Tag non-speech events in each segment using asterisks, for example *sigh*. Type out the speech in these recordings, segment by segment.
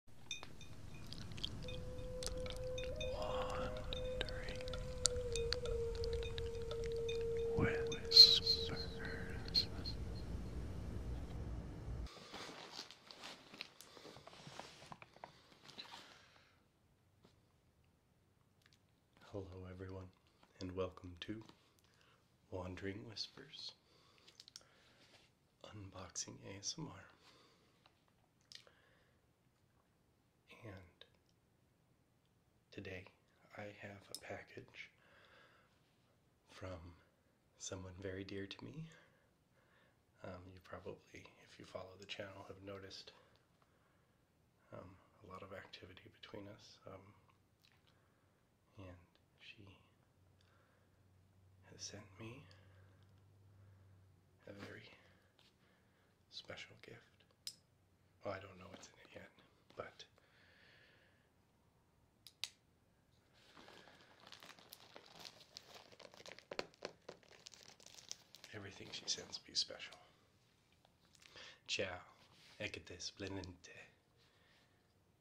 Whispers. Hello, everyone, and welcome to Wandering Whispers. Unboxing ASMR. And today I have a package from someone very dear to me. Um, you probably, if you follow the channel, have noticed um, a lot of activity between us. Um, and she has sent me a very special gift. I don't know what's in it yet, but everything she sends me is special. Ciao, e splendente.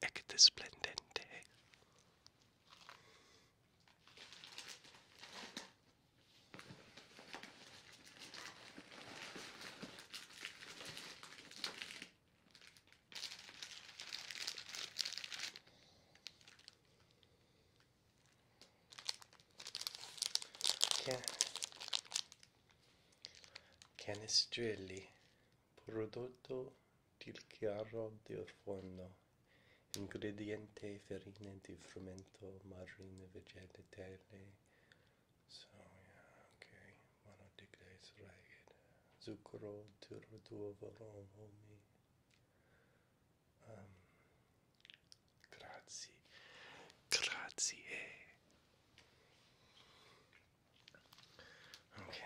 Ecte Splendente. Can Canestrelli Prodotto del chiaro del forno. Ingrediente farina di frumento, margarine vegetale. So yeah, okay. Wanna dig this right. Zucchero, duro d'uovo, uomini. Um, ehm, grazie. Grazie. Okay.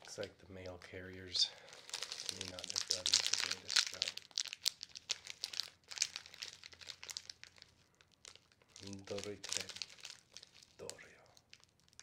Looks like the mail carriers may not have done the greatest job. Doritre, Dorio,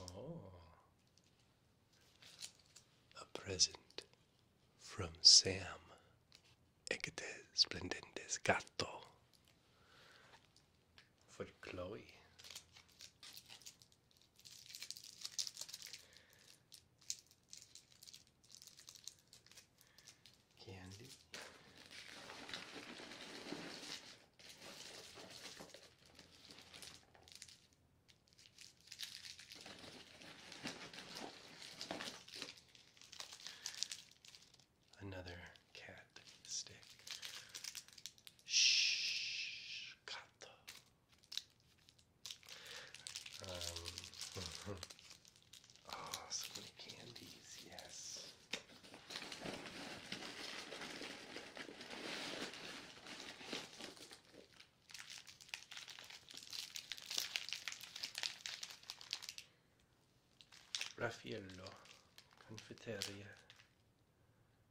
Oh, a present from Sam. Eggete splendente gatto for Chloe. Candy. Another cat stick. Shh. Cut. Um, *laughs* oh, so many candies, yes. Raffaello Confiteria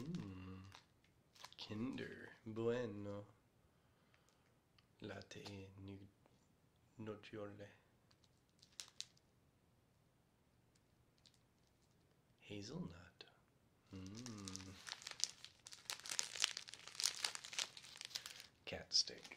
Mm. Kinder Bueno Latte nu Nocciole Hazelnut. Mm. Cat steak.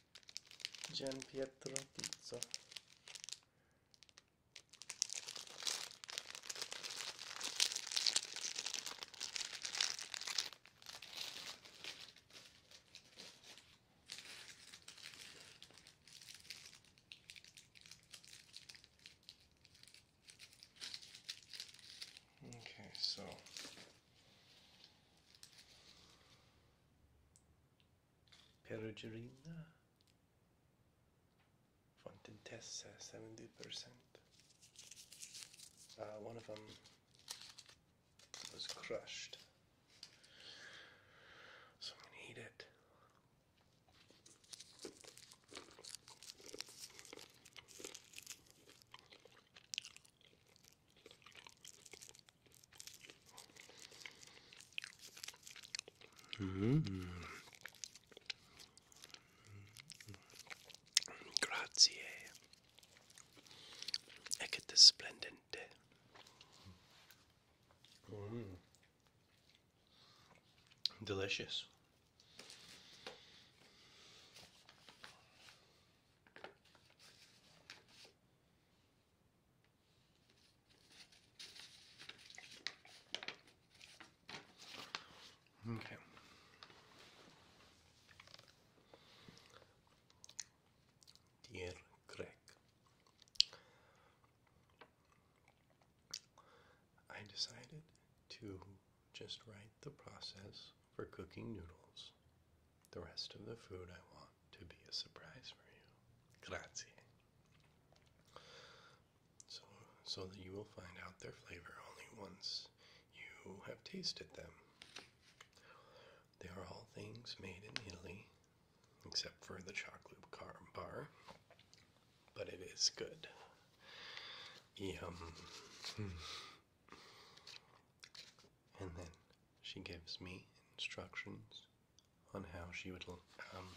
Gian Pietro Tizzo Okay, so Perugina. Fontentessa, 70%. Uh, uh, one of them was crushed. So I'm going to eat it. Mm. Grazie. E splendente. Mm. Delicious. Dear Greg, I decided to just write the process for cooking noodles the rest of the food I want to be a surprise for you. Grazie. So, so that you will find out their flavor only once you have tasted them. They are all things made in Italy, except for the chocolate car bar, but it is good. Yum. Hmm. And then she gives me instructions on how she would um,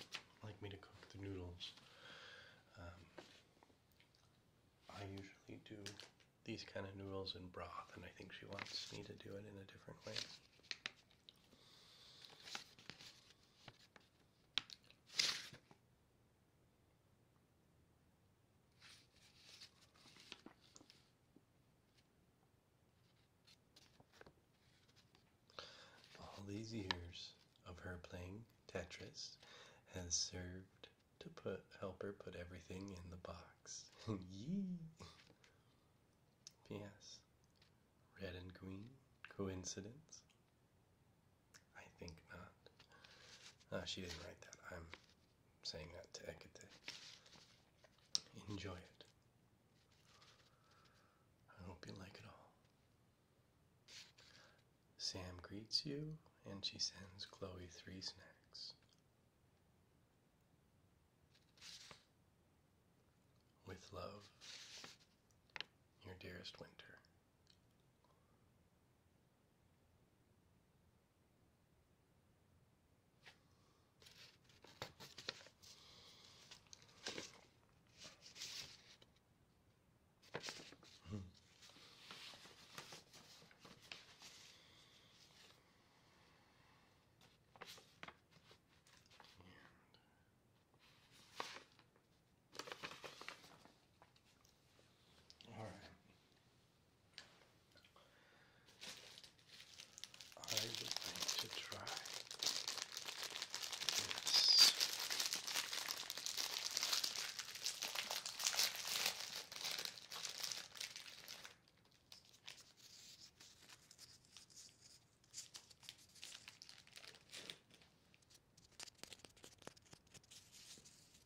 like me to cook the noodles. Um, I usually do these kind of noodles in broth, and I think she wants me to do it in a different way. All these years of her playing Tetris has served to help her put everything in the box. *laughs* Yee! P.S. Red and green? Coincidence? I think not. Uh, she didn't write that. I'm saying that to Hecate. Enjoy it. I hope you like it all. Sam greets you and she sends Chloe three snacks. With love, your dearest Winter. Hmm. All right. Uh, I would like to try this.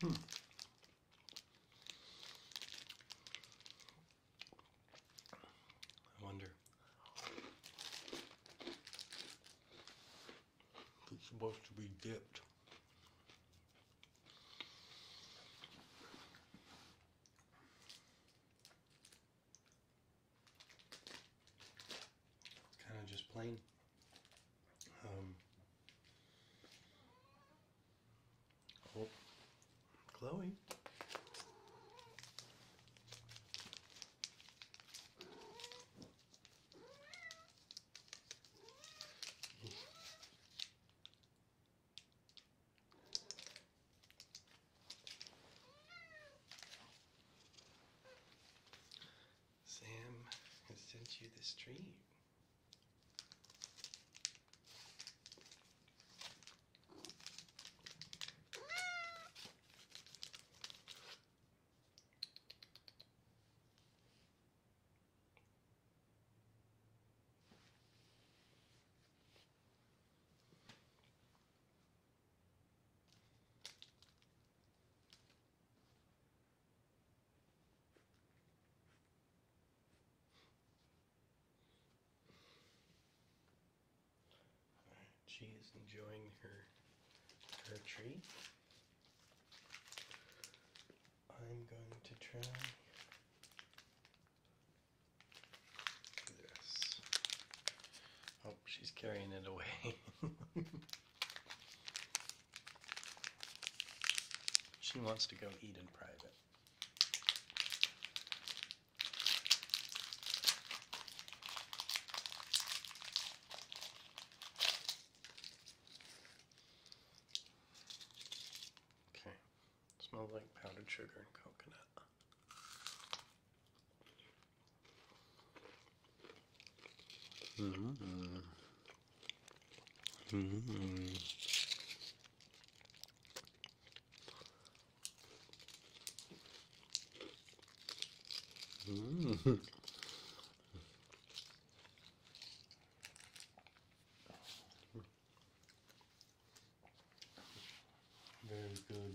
Hmm. I wonder. it's supposed to be dipped kind of just plain. Um, oh, Chloe. Sam has sent you this treat she is enjoying her her treat. I'm going to try this. Oh, she's carrying it away. *laughs* she wants to go eat in private. Okay, smells like powdered sugar and coconut. Mm-hmm. *laughs* Very good.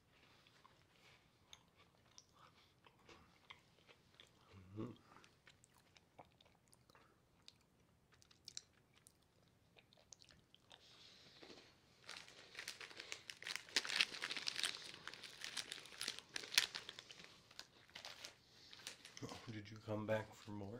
Mm-hmm. Did you come back for more?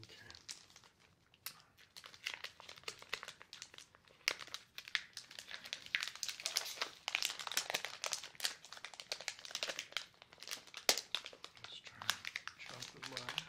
Okay. Let's try chocolate line.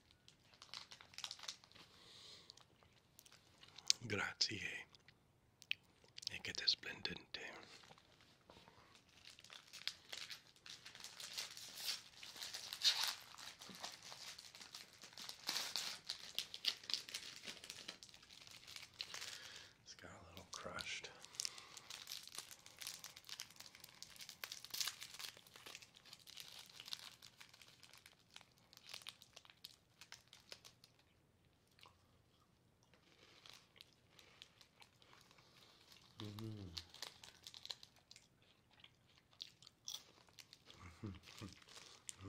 Grazie e che te splendente. It's got a little crushed.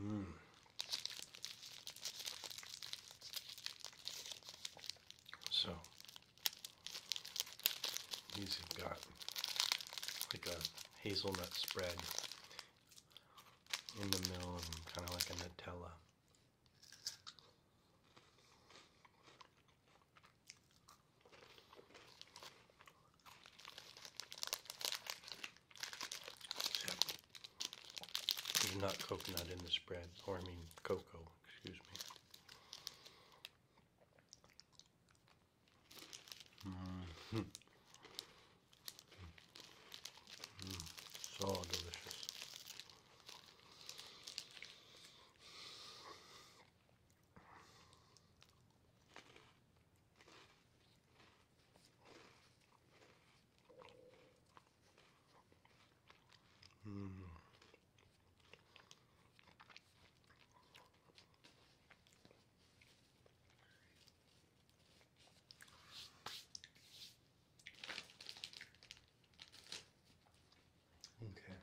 Mm. So these have got like a hazelnut spread in the middle and kind of like a Nutella. not coconut in the spread, or I mean cocoa, excuse me so delicious. Mm. Okay.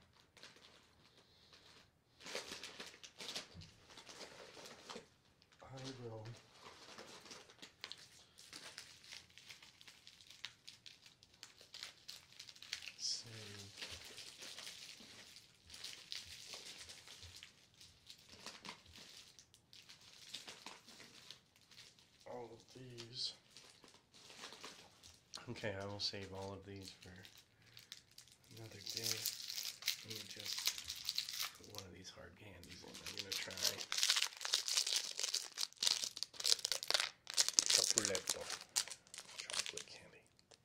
I will save all of these. Okay, I will save all of these for another day. Let me just put one of these hard candies in. I'm gonna try Chocoleto. Chocolate candy.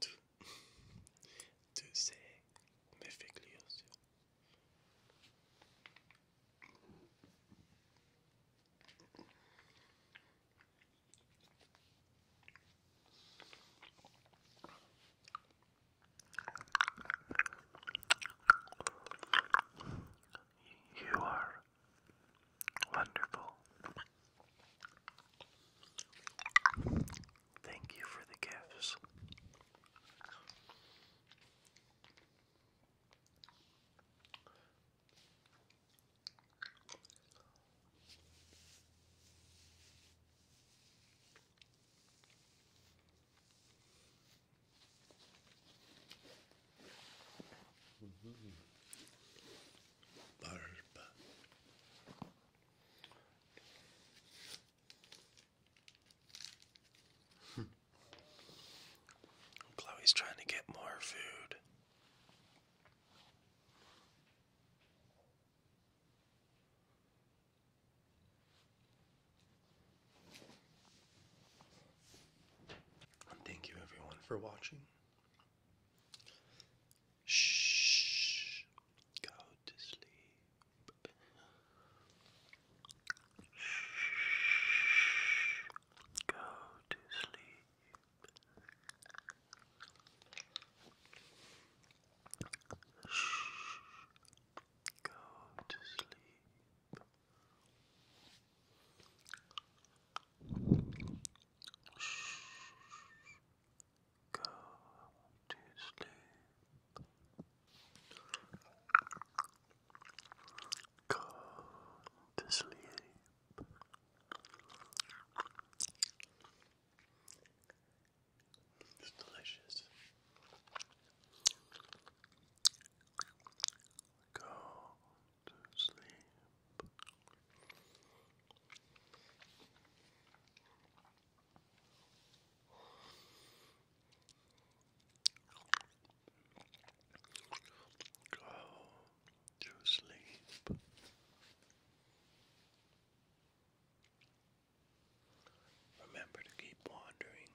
To say, ces You are Wonderful. Thank you for the gifts. Mm-hmm. Hmm. Chloe's trying to get more food. thank you everyone for watching. Shh. Go to sleep. Shh. Go to sleep. Shh. Go to sleep. Go to sleep. Go to sleep. It's delicious. Go to sleep. Go to sleep. Remember to keep wandering.